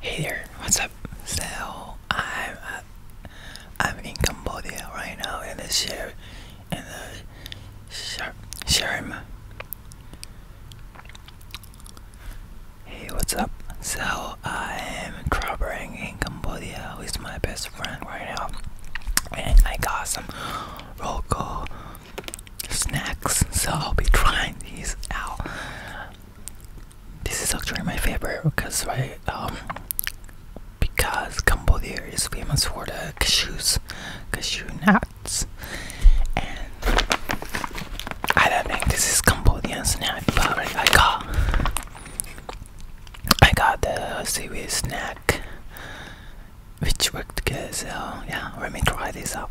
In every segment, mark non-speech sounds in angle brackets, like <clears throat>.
Hey there, what's up? So I'm uh, I'm in Cambodia right now in the share in the shar Sharm. Hey, what's up? So I am traveling in Cambodia with my best friend right now, and I got some local snacks. So I'll be trying these out. This is actually my favorite because right um, because Cambodia is famous for the cashews, cashew nuts, and I don't think this is Cambodian snack, but I got I got the seaweed snack, which worked good. So yeah, let me try this out.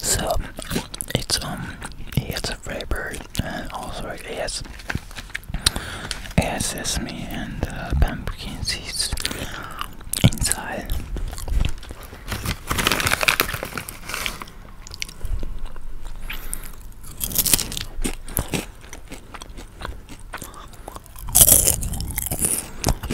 So it's um he has a flavor and also it has it has sesame and uh, pumpkin seeds inside.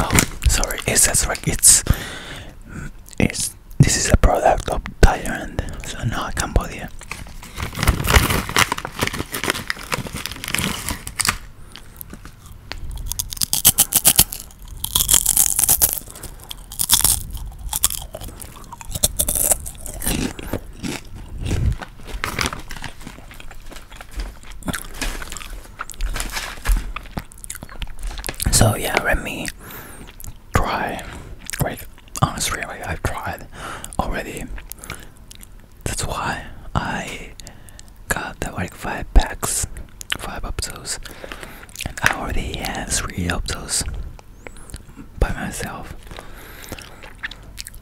Oh, sorry. It says like it's it's this is a product of Thailand, so not Cambodia. So yeah, let me try. Like honestly, like I've tried already. That's why I got like five packs, five of and I already had three of by myself.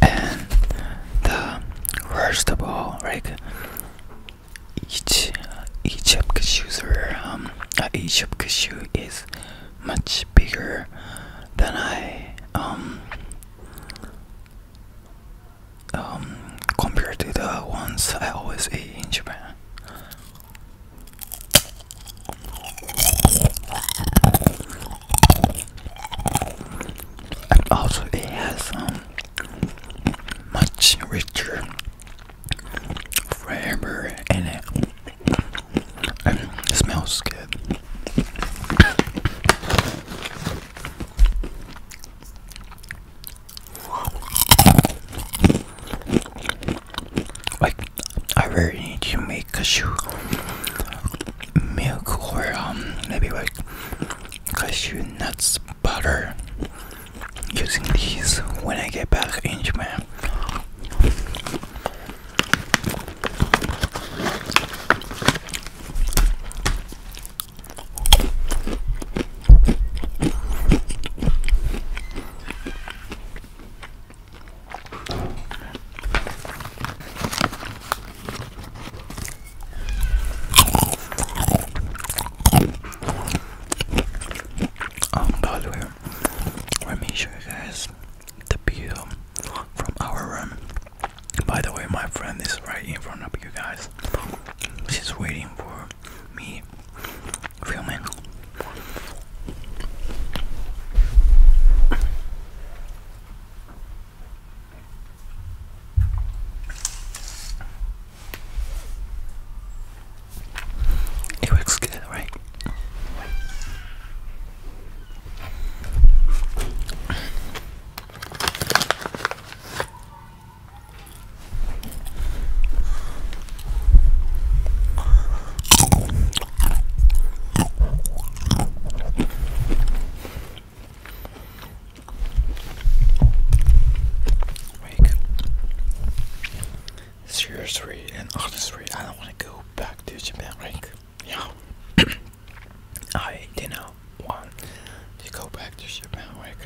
and the worst of all, Egypt. each each user, um, uh, each user is much bigger than I um um compared to the ones I always ate in Japan. And also it has um much richer flavor in it. And it smells good. Like, I really need to make cashew milk or um, maybe like cashew nuts butter using these when I get back in Japan. Um, by the way, let me show you guys the view from our room. By the way, my friend is right in front of you guys. She's waiting for me filming. It looks good, right? Like, seriously and honestly, oh, I don't want to go back to Japan. Like, yeah, <clears throat> I did not want to go back to Japan. Like,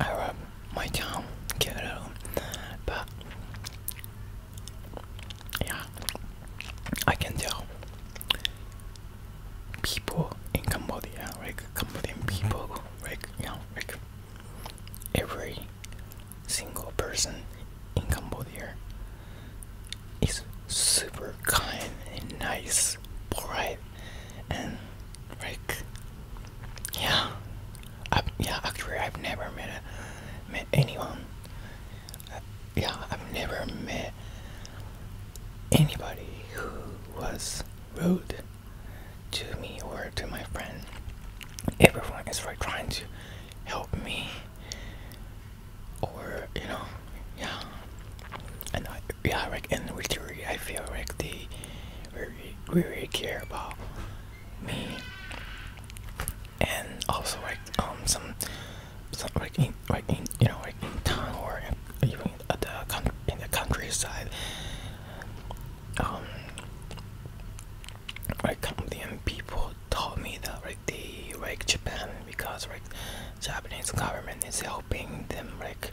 I love um, my town, Kyoto. But yeah, I can tell people in Cambodia, like Cambodian people, like you know, like every single person in Cambodia is super kind and nice, polite, and like yeah, I've, yeah, actually, I've never met met anyone. yeah, I've never met anybody who was rude to me or to my friend. Everyone is like trying to help me, or you know, yeah. And I, yeah, like in theory, I feel like they very really care about meaning, and also like um some, some like in like in you know like in town or in, even the in the countryside, um, like Cambodian people told me that like they like Japan because like Japanese government is helping them like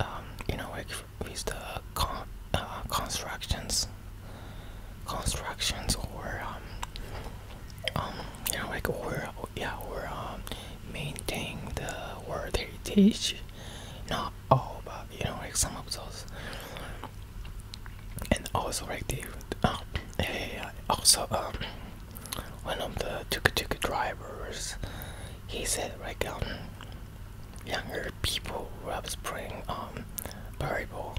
um you know like with the con uh, constructions constructions or um, um you know like or yeah or um maintain the word heritage not all but you know like some of those and also like the um, yeah, also um one of the tuk tuk drivers he said right now. Um, younger people love I playing um volleyball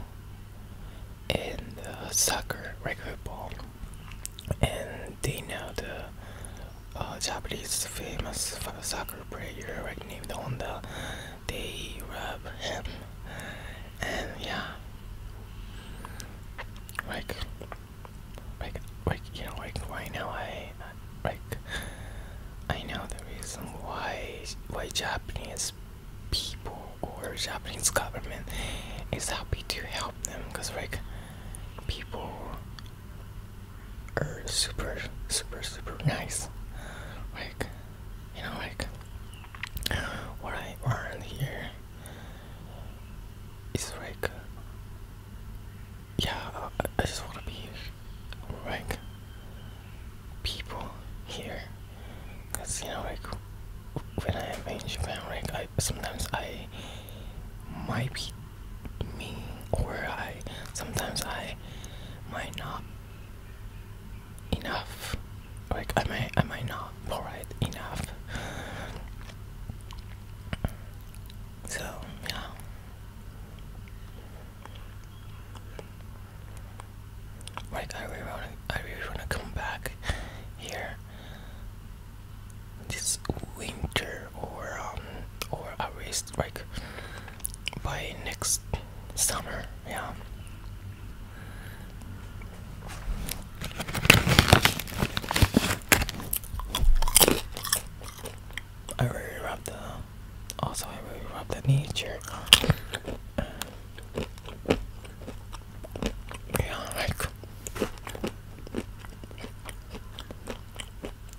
and soccer, regular ball, and they know the uh, Japanese famous soccer player like named Honda. They rub him, and yeah, like, like, like you know, like right now I like I know the reason why why Japanese people or Japanese government is happy to help them because like people are super super super nice like you know like what I learned here is like yeah, I, just want to be like people here. Cause you know, like when I am in Japan, like I sometimes I might be mean, or I sometimes I might not enough. Like I might I might not provide enough. So yeah. Like I really wanna I really wanna come back here this winter or um or at least like by next summer, yeah. I really rubbed the also I really rubbed the nature. Yeah, like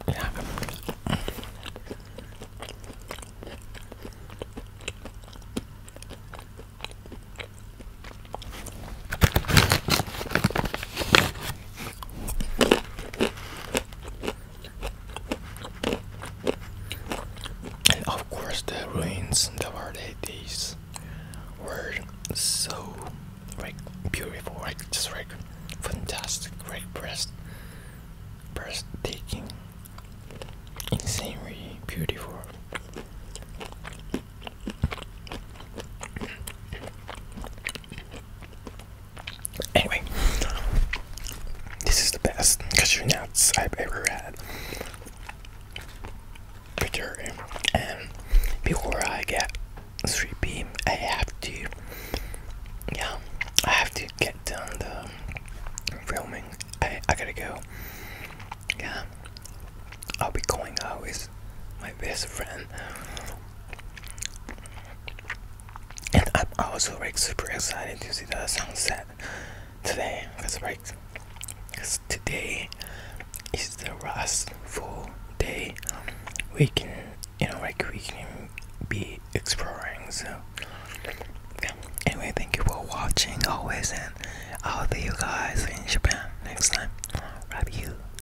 yeah. And of course, the ruins that were these were so like beautiful, like just like fantastic, like breathtaking, insanely beautiful. Anyway, this is the best cashew nuts I've ever had. Bitter. And before I get sleepy, I have to, yeah, I have to get done the filming. I, I gotta go. Yeah, I'll be going out with my best friend and I'm also like super excited to see the sunset today because like cause today is the last full day we can you know like we can be exploring so anyway thank you for watching always and I'll see you guys in Japan next time love you